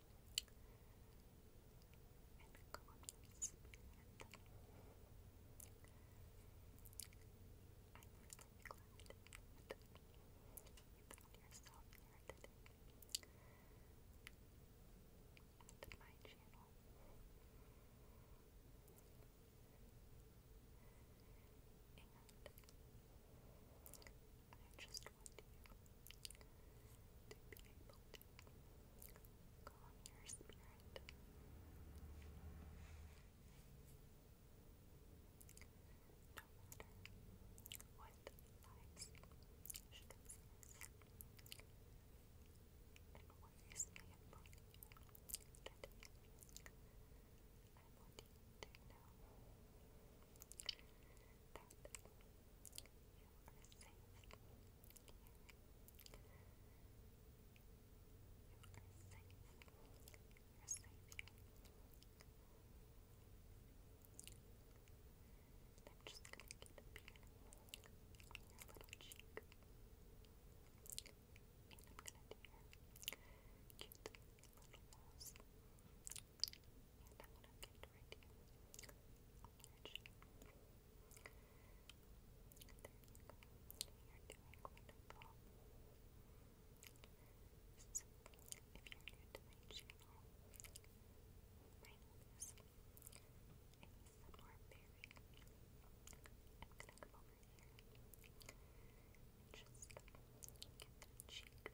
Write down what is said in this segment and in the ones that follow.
and go up to his bed. I'm really glad that you found yourself here today at my channel. And I I just want to be able to calm your spirit. No matter what life circumstances and ways I want you to know that you I'm just gonna get up here on your little cheek. And I'm gonna do your little nose. And I wanna get right here. Allergy. There you go. You're doing wonderful. So, if you're new to my channel, my name is ASMR Berry. I'm gonna come over here and just get the cheek. Just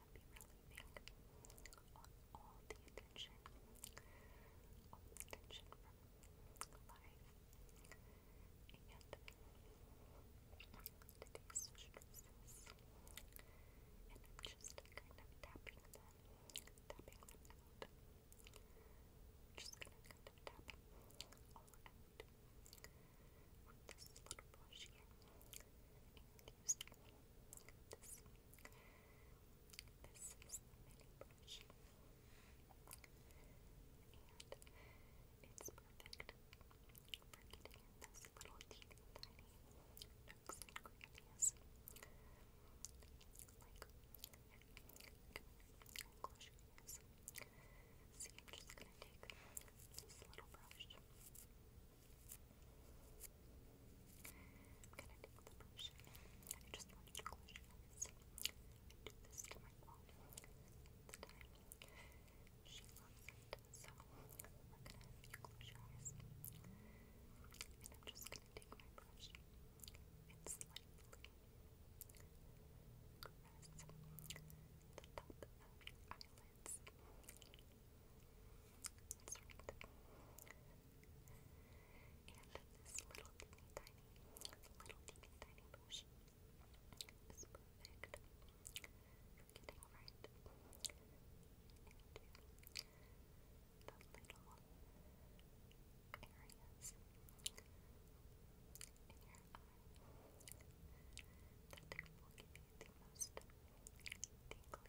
can be really all the attention, attention from life. And today's stresses, and I'm just kind of tapping them, tapping them out. Just gonna kind of tap all out with this little brush here, and using this this is it's perfect for getting in little teeny tiny nooks and See, I'm just gonna take this little brush. I'm gonna take the brush and just want you to close your eyes. do this to my mom the time. She loves it, so we're going you close your eyes. I'm just gonna take my brush and slightly press the top of your eyelid. That's right. this little teeny tiny, little teeny tiny potion is little areas in your eye that will give you the most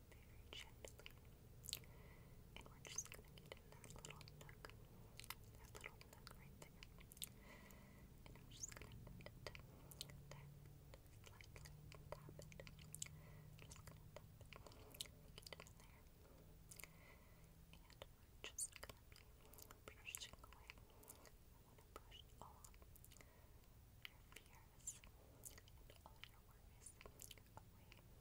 very gently. And we're just gonna get in that little nook, that little nook right there. And I'm just gonna tap, tap, tap, slightly tap it. Just gonna tap it, get in there. And we're just gonna be brushing away. I wanna brush all your fear cares, and just gonna tap it. We're gonna tap that out.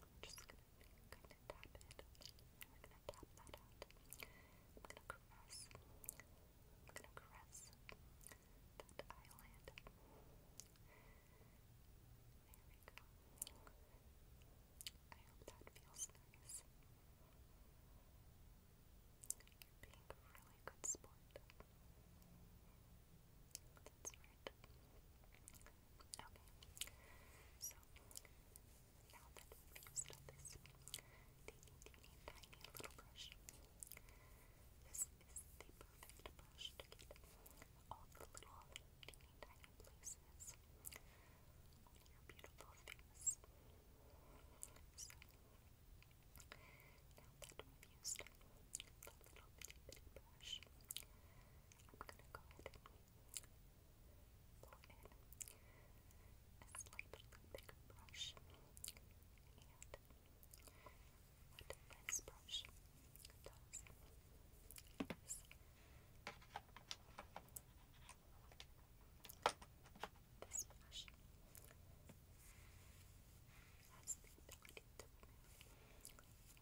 I'm gonna caress. I'm gonna caress that eyelid. There I hope that feels nice you being a really good sport. That's right. Okay. So, now that we've used all this teeny, tiny little brush, this is the perfect brush to all the little teeny, tiny places on your beautiful face. Now that we've used the little bitty bitty brush, I'm gonna go ahead and pull in a slightly bigger brush. And what this brush does is this brush has the ability to remove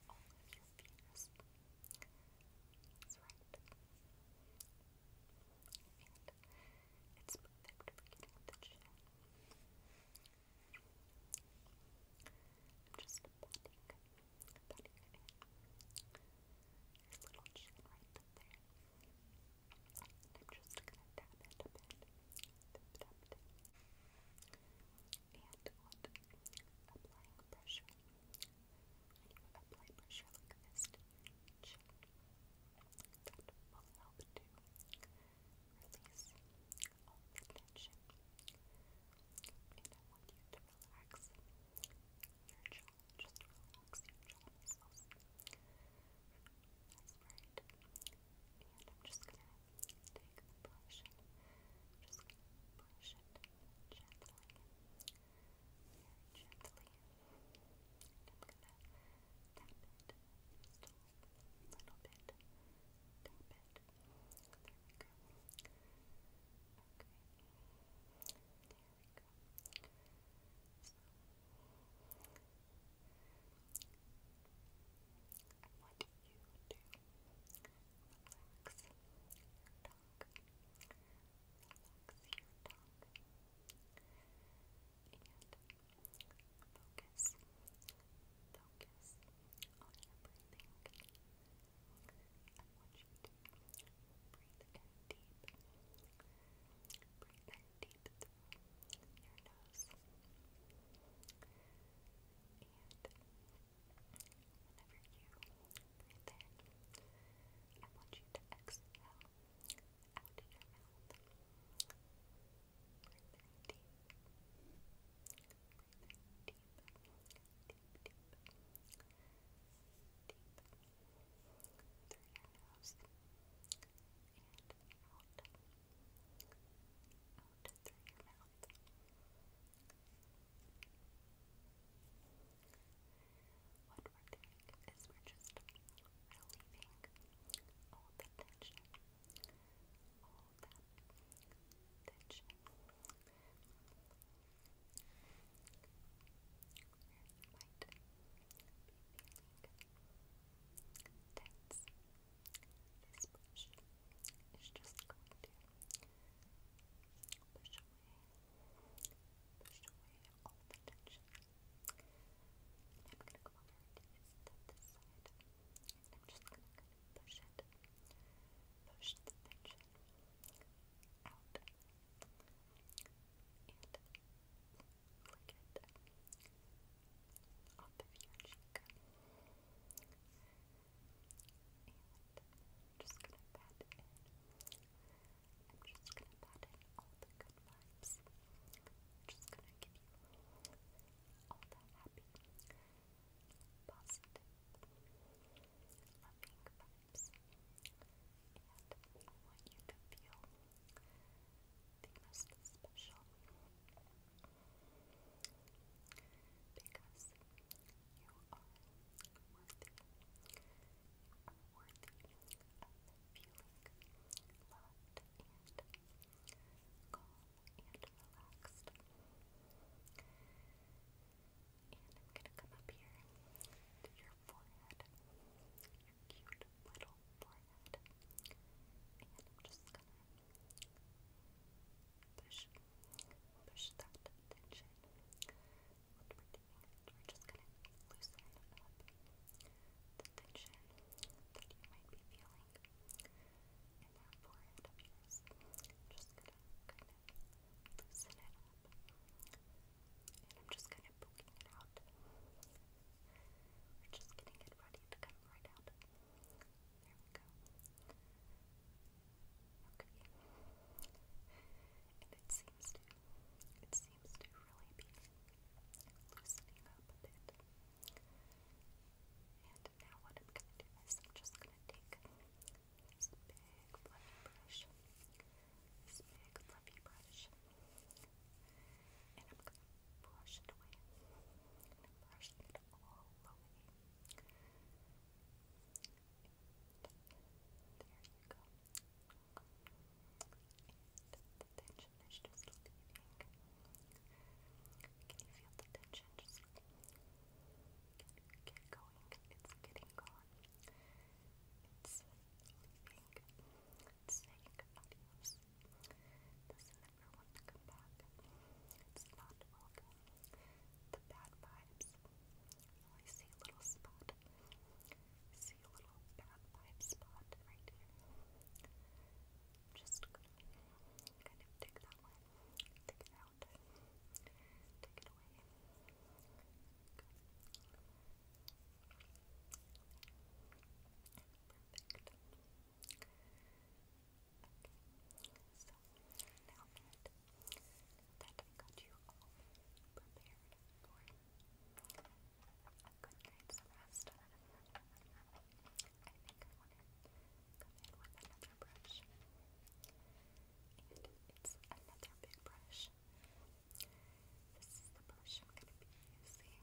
all of your fears. That's right. it's perfect for I'm just patting, a little chin right there. I'm just gonna tap it a bit. And Applying pressure. When you apply pressure like this to will help to release all the tension. And I want you to relax your jaw. Just Relax your jaw muscles. That's right. And I'm just gonna take the brush and I'm just gonna brush it gently, very gently. And I'm gonna tap it just a little bit. Tap it. There we go. Okay. There we go. So, I want you to relax your tongue. Relax your tongue. And focus. Focus on your breathing. I want you to breathe in deep. Breathe in teeth through your nose. And whenever you breathe in, I want you to exhale out of your mouth. Breathe in deep. Breathe in deep. Deep, deep. Deep. Through your nose out. Out through your mouth. What we're doing is we're just relieving all the tension. All that tension. Where you might be feeling that's this just going to push away, push away all the tension. I'm gonna go over this, side, I'm just gonna push it, push the tension out, lick just gonna pat in. I'm just gonna pat in all the good vibes. I'm just gonna give you all the happy, positive, loving vibes. And I want you to feel the most special because you are worthy. worthy of feeling loved and calm and relaxed. And I'm going to come up here to your forehead, your cute little forehead. And I'm just gonna push, push that tension. we're just gonna loosen up tension that you might be feeling in that forehead of yours. just gonna loosen it up. And I'm just kind of poking it out. We're just getting it ready to come right out. There we go. Okay. And it seems to it seems to really be loosening up a bit. And now what I'm gonna do is I'm just gonna take this big fluffy brush. This big fluffy brush. And I'm going to brush it away. And it all away. there you go. the tension is just leaving. Can you feel the tension just get going? It's getting gone. It's leaving saying adios. Doesn't ever to come back. It's not welcome. The bad vibes. I see a little spot. See a little bad vibe spot right here. Just kind of take that one, take it out, take it away. Perfect. So now that that got you all prepared for a good night's rest, I think I want to come in with another brush. And it's another big brush. This is the brush I'm going to be using.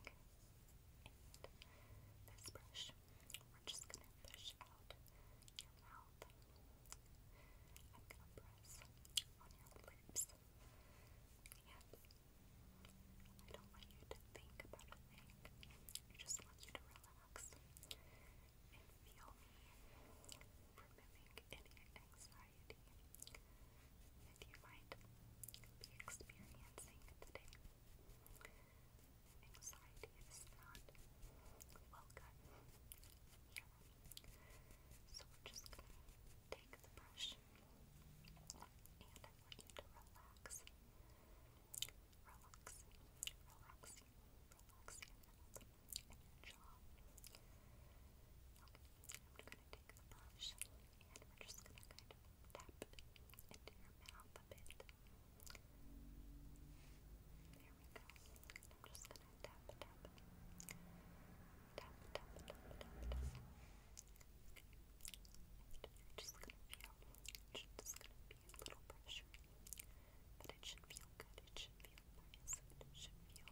And this brush, we're just going to push out your mouth. I'm going to press on your lips. And I don't want you to think about a I just want you to relax and feel me removing any anxiety anxiety that you might be experiencing today. Anxiety is not welcome here. So we're just going to take the brush and I want you to relax. Relax, relax, relax your mouth and your jaw. Okay, I'm going to going we go. I'm just gonna tap, tap, tap, tap, tap, tap, you just gonna feel, just gonna be a little pressure, but it should feel good. It should feel nice. should feel.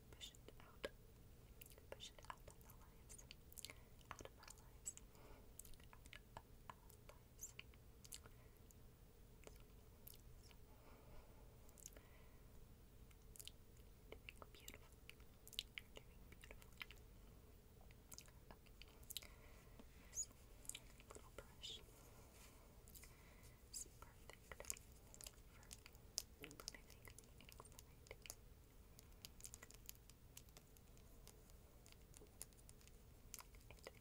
Push it out. Push it out of the lives. Out of our lives. Out of our lives. Doing beautiful. Doing beautiful. Okay. This little brush is perfect for removing anxiety.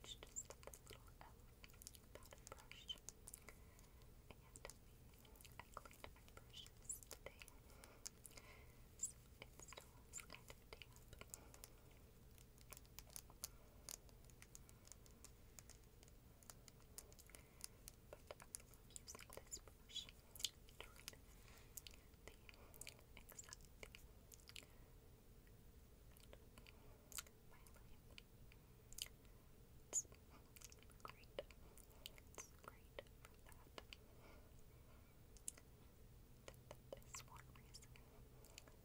It's just a little um, powder brush, and I cleaned my brushes today, so it still is kind of damp. But I love using this brush to remove the anxiety out of my life. It's great. It's great for that. That, that is one reason why I really like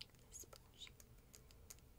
using this brush.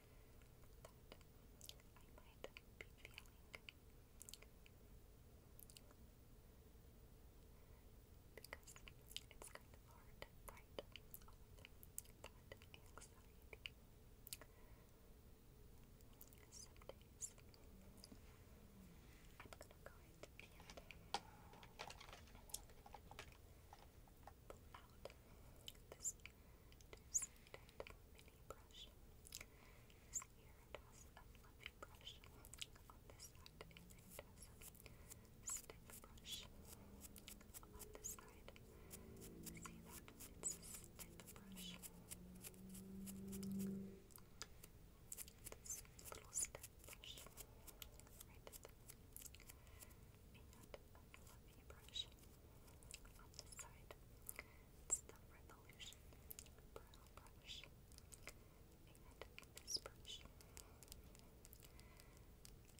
that I might be feeling. Because it's kind of hard to fight all of that anxiety. Some days I'm gonna go ahead and pull out this mini brush. here a fluffy brush on this side, a stick brush on this side. See that? It's a stick brush. This little stick brush right there. And a fluffy brush on this side, it's the Revolution Brush, and this brush.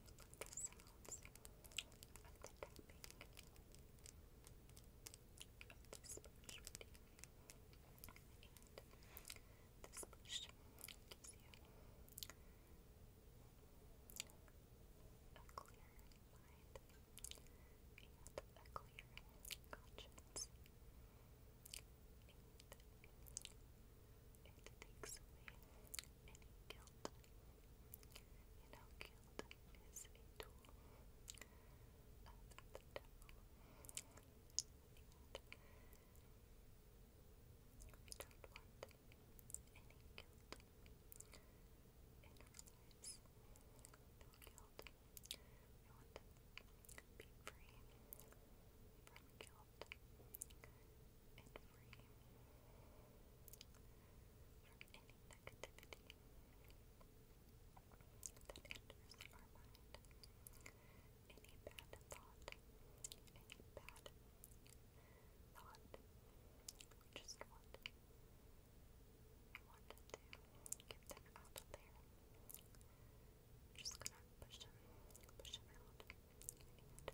I love the sounds the tapping of this brush And this brush you a clear mind and a clear conscience. it takes away any guilt. You guilt is a tool of the devil. And we don't want any guilt in our lives. They were killed. We want them be free from guilt and free from any negativity that enters our mind. Any bad thought, any bad thought. We just want, to get them out of there. just gonna push them, push them out, and let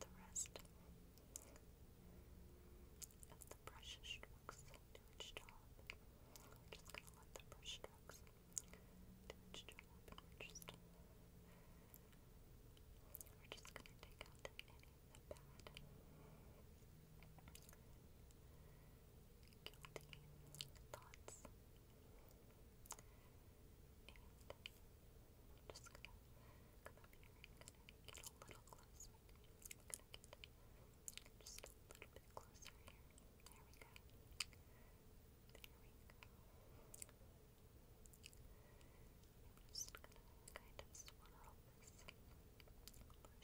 the rest of the brush strokes do its job. just gonna let the brush strokes do its job, we're just gonna take out the bad. thoughts. Uh, just gonna get a little closer. just a little bit closer here. There we go. There we go i just gonna kind of swirl this around make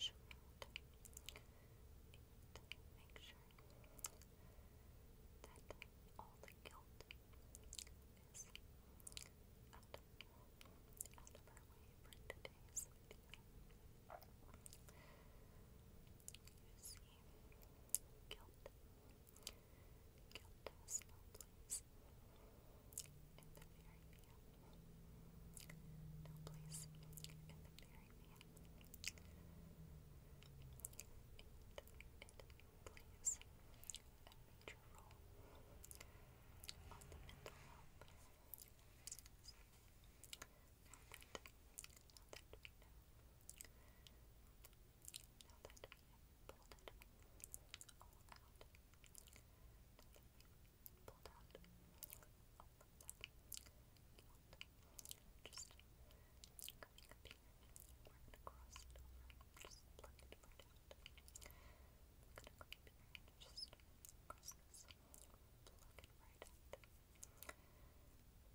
sure that all the guilt is out, of our way for today's You see, guilt Countess, no please. In the fairy man. No please. In the fairy man. And it plays the mental health pulled it all out. Pulled out all of that guilt. Just coming up here, we're gonna cross it over, just plug it right out. I'm gonna come up here and just cross this, plug it right out. Plug it right out.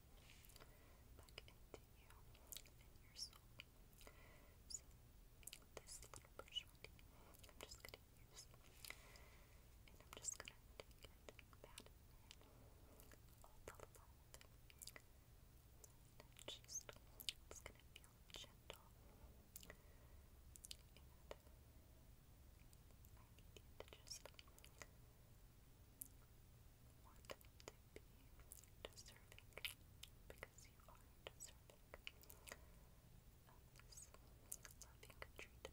back into you and your soul. So, this little brush I'm just going to use, and I'm just going to take it and pat all the love. And just, it's going to feel gentle. And I need just want to be deserving because you are deserving of treatment. I'm just gonna love, acceptance, honesty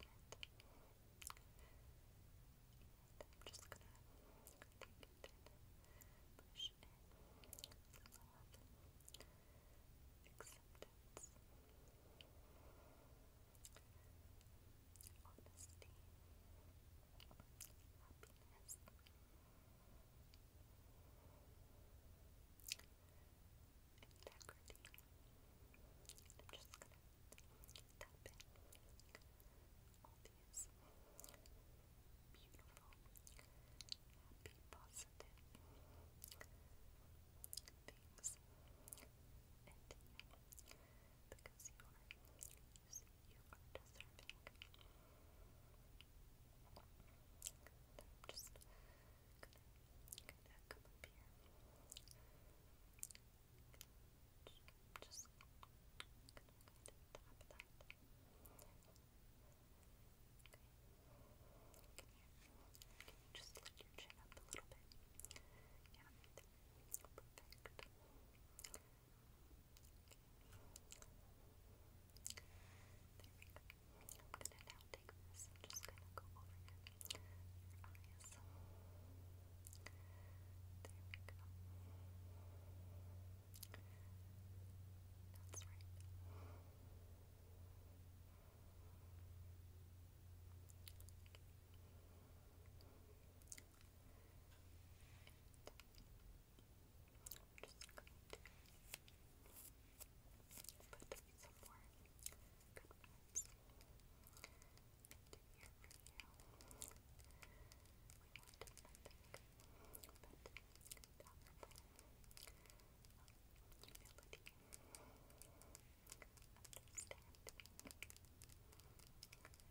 happiness. Integrity. I'm just gonna tap in all beautiful, happy, positive things you because you are abuse you are deserving. just gonna, going just gonna kind that. Okay. just lift your chin up a little bit? Yeah. Perfect. I'm gonna now take this and just gonna go over your, your eyes. There we go. That's right. Okay. I'm just going to put some more good vibes into here for you. We want nothing but powerful humility, understanding, and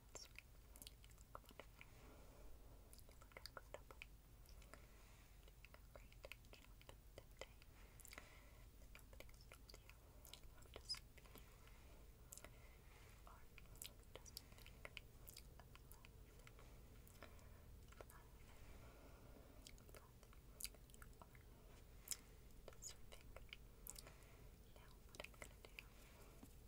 It's wonderful. You look incredible. Doing a great job today. Nobody has told you how disappointed you are. Just think of love. Love. Love. You are deserving. Now, what I'm going to do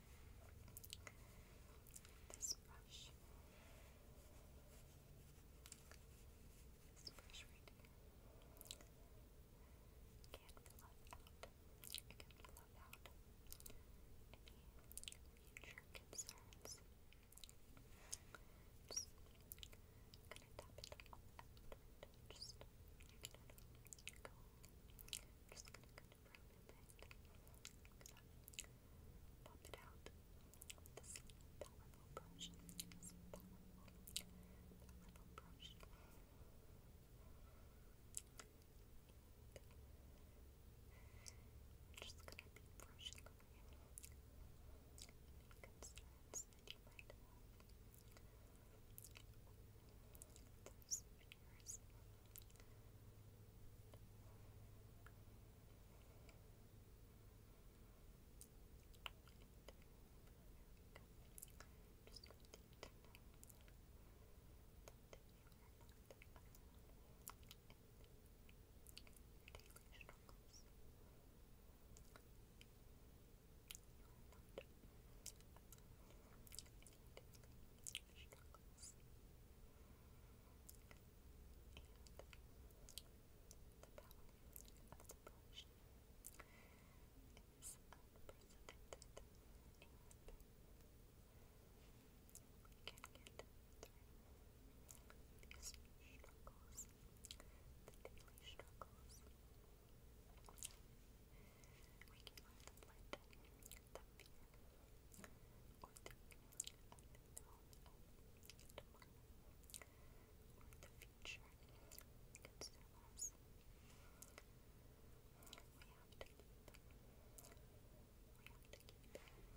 This brush. This brush right can fill out. can fill out any future concerns. gonna tap it out just gonna go. just gonna kind it pop it out this powerful brush. This powerful, brush. just gonna be brushing over you any concerns that you might have yours. Just want you to know that you are not alone in your daily struggles. You are not struggles and the power of the brush is unprecedented and we can get through these struggles, the daily struggles, we can either blend the fear or the unknown of tomorrow or the future consume us. We have to keep we have to keep a positive mind and attitude. And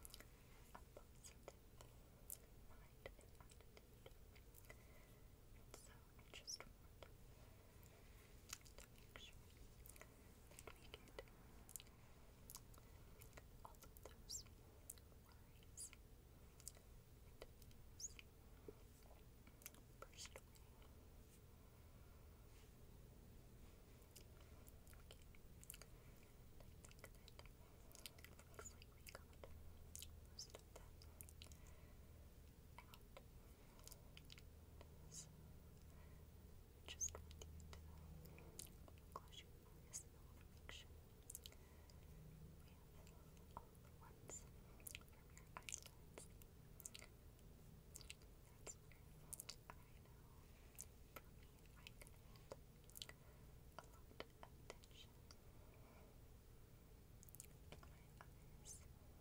so I just want to make we get all of those worries and fears brushed away. that looks like we got most of that out is just want you to close we have all the ones from your eyelids. I know for me I can a lot of tension my eyes.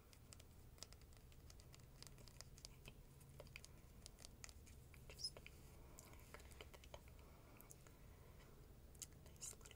just gonna give it a nice little nice little coat. I love you guys so much.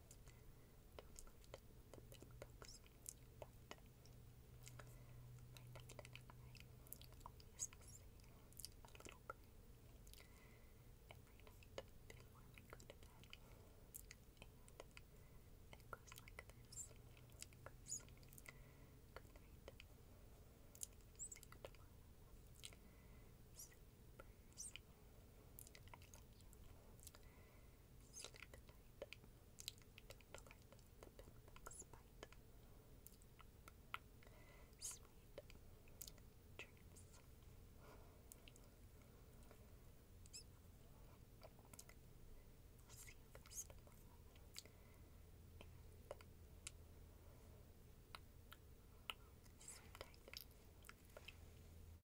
bedbugs, but my dad and I always say a little prayer every night before we go to bed, and it goes like this, it goes, good night, see you tomorrow, say your prayers, I love you, Sleep at night. Don't let the bedbugs bite. Sweet dreams. We'll see you guys tomorrow. And sleep tight. Bye.